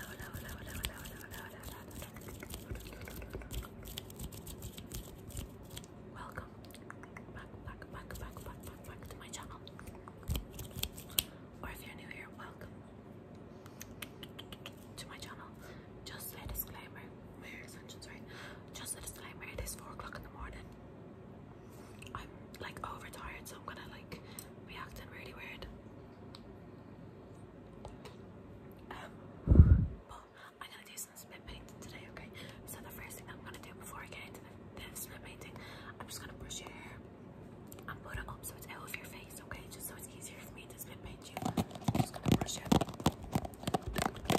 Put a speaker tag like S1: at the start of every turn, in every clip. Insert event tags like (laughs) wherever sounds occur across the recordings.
S1: Welcome back, back, back, back, back, back, to my channel. Or if you're new here, welcome to my channel. Just a disclaimer, Just a disclaimer, it is 4 o'clock in the morning. I'm like overtired, so I'm gonna like react in really weird. Um, but I'm gonna do some spit painting today, okay? So the first thing I'm gonna do before I get into the, spit painting, I'm just gonna brush your hair and put it up so it's out of your face, okay? Just so it's easier for me to spit paint you. I'm just gonna brush your hair. Okay,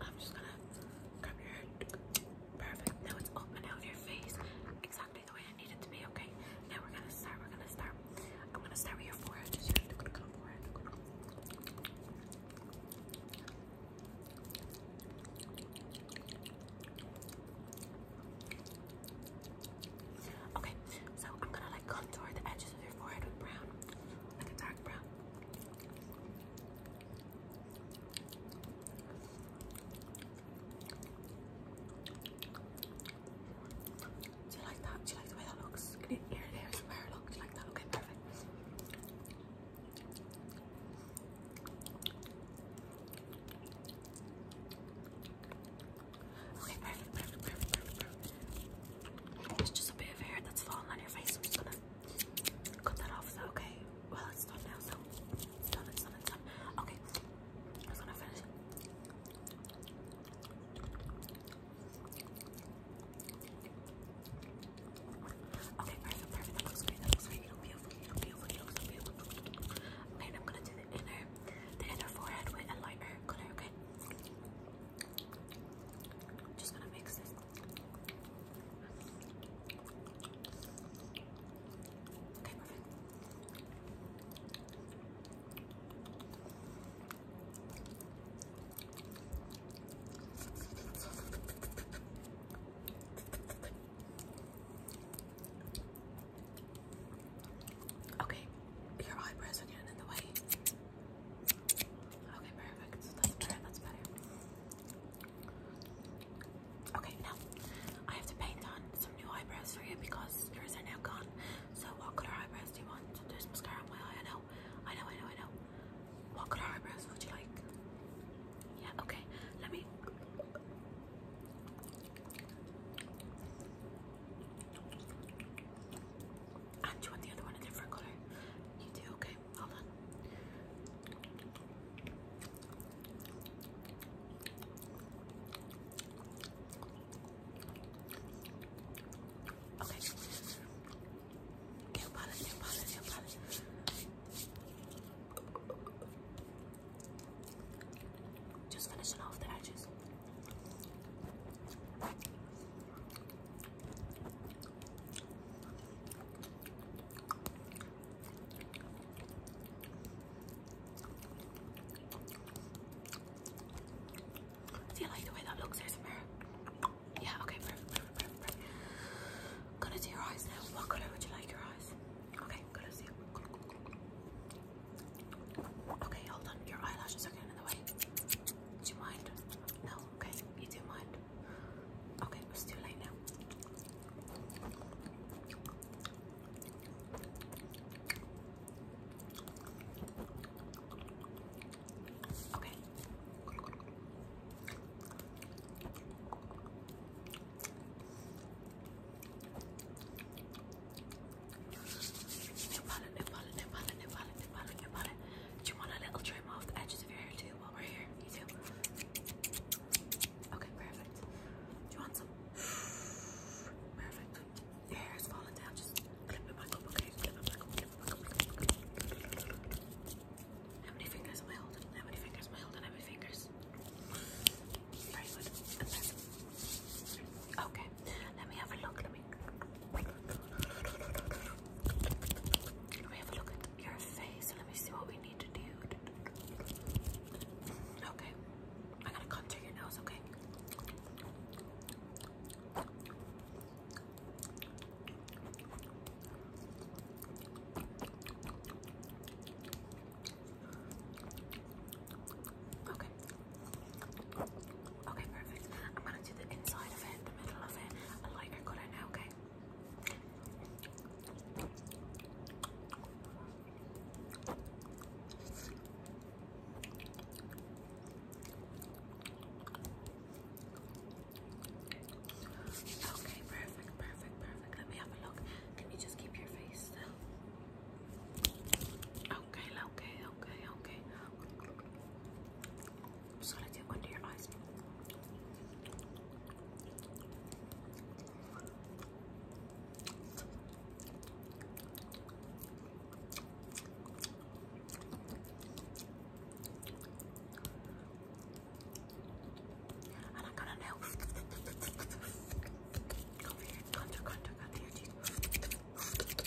S1: I'm just gonna grab your hair. Perfect. Now it's open out of your face exactly the way I need it to be, okay? Now we're gonna start, we're gonna start. I'm gonna start with your forehead. Okay, so I'm gonna like contour the edges of your forehead with brown, like a dark brown. Do you like that? Do you like the way that looks? Can you hear there somewhere? Look, do you like that? Okay, perfect. Okay, perfect, perfect, perfect, perfect, perfect. just a bit of hair that's fallen on your face cut that off, okay. Well, it's done now, so done, done, done. Okay, I was gonna finish Okay, perfect, perfect. That looks great. That looks great. It'll be It'll be It'll be and I'm gonna do the inner, the inner forehead with a lighter color. Okay. Just gonna mix this Okay, perfect. Okay, your eyebrows are getting in the way. Okay, perfect. That's better. That's better. Okay, now I have to paint on some new eyebrows for because yours are now gone. So, what color eyebrows do you want? There's mascara on my eye. I know, I know, I know, I know. What color eyebrows would you like? Yeah. Okay. Let me. And you want the other one a different color? You do, okay. Okay, well done. Okay. New palette, new palette, new palette. Just finishing off the edges. See, I like the way that looks. Yeah, okay, perfect, perfect, perfect, perfect. gonna do your eyes now. What color would you like your eyes? Okay, gonna see. Okay, hold on. Your eyelashes are getting in the way. Do you mind? No, okay, you mind. Okay, it's too late now. Okay. Nepal, Nepal, Nepal, Nepal, Nepal, Nepal, do you want a little trim off the edges of your hair too while we're here? You do? Okay, perfect. Do you want some? (sighs) Perfect. Your hair is falling down. Just clip it back up, okay? How many fingers am I holding? How many fingers am I holding? How many fingers? Very good. Okay. Let me have a look. Let me let me have a look at your face and let me see what we need to do. Okay. I'm to contour your nose, okay? Okay. Okay, perfect. I'm gonna do the inside of it, the middle of it, a lighter color now, okay? Okay, perfect, perfect, perfect. Let me have a look. Can you just keep your face still? Okay, okay, okay, okay. I'm just gonna dip under your eyes. And I'm gonna nail come here, contour, contour, contour your teeth.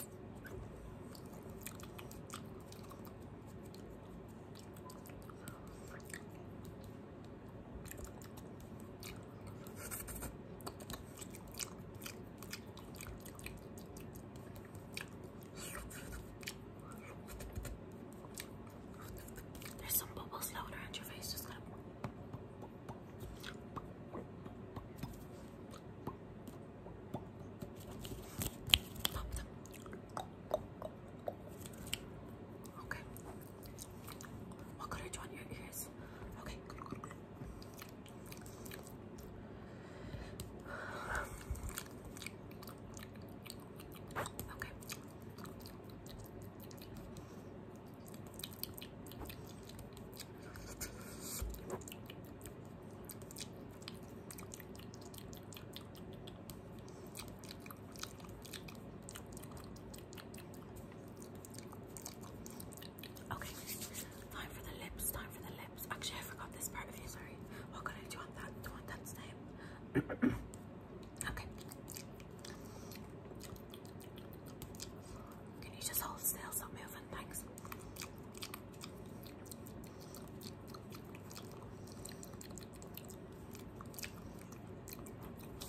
S1: There's some bubbles floating around your face, just gotta. Okay. What could I do on your ears? Okay. Okay. Okay, time for the lips, time for the lips. Actually, I forgot this part of you, sorry. What oh, could I do on that? Do you want that name? okay. Can you just hold still, so move? thousand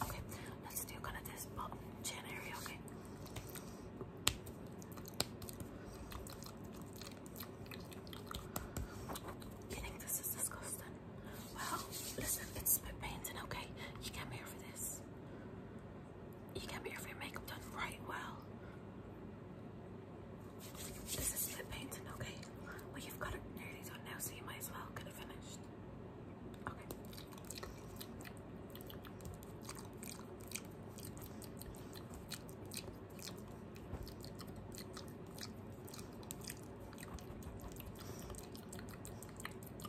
S1: Okay, let's do kind of this chin area, okay? You think this is disgusting? Well, listen, it's spit and okay? You came here for this you gotta be your makeup done right well. This is lip painting, okay? Well, you've got it nearly done now, so you might as well get it finished. Okay.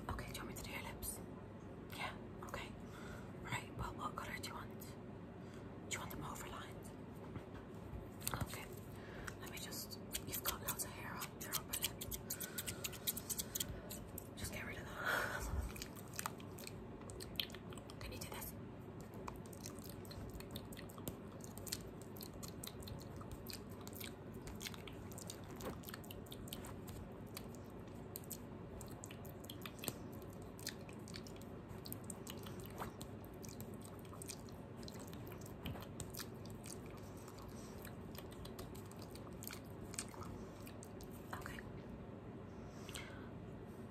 S1: Okay, do me to do your lips? Yeah, okay. Right, well, what color do you want? Do you want them overlined? Okay, let me just. You've hair on Just get rid of that. (laughs) Can you do this? Okay.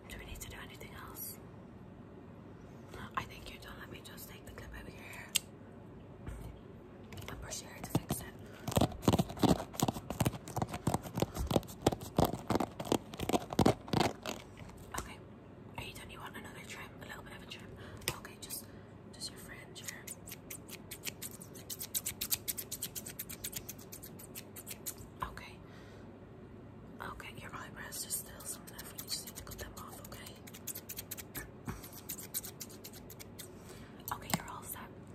S1: Do we need to do anything else? I think you're done. Let me just take the clip out of your hair and to fix it. Okay. Are you done? You want another trim? A little bit of a trim? Okay, just just your fringe here. Okay. Okay, your eyebrows are still some left. We just need to cut them off, okay? (clears throat) Okay, you're all set.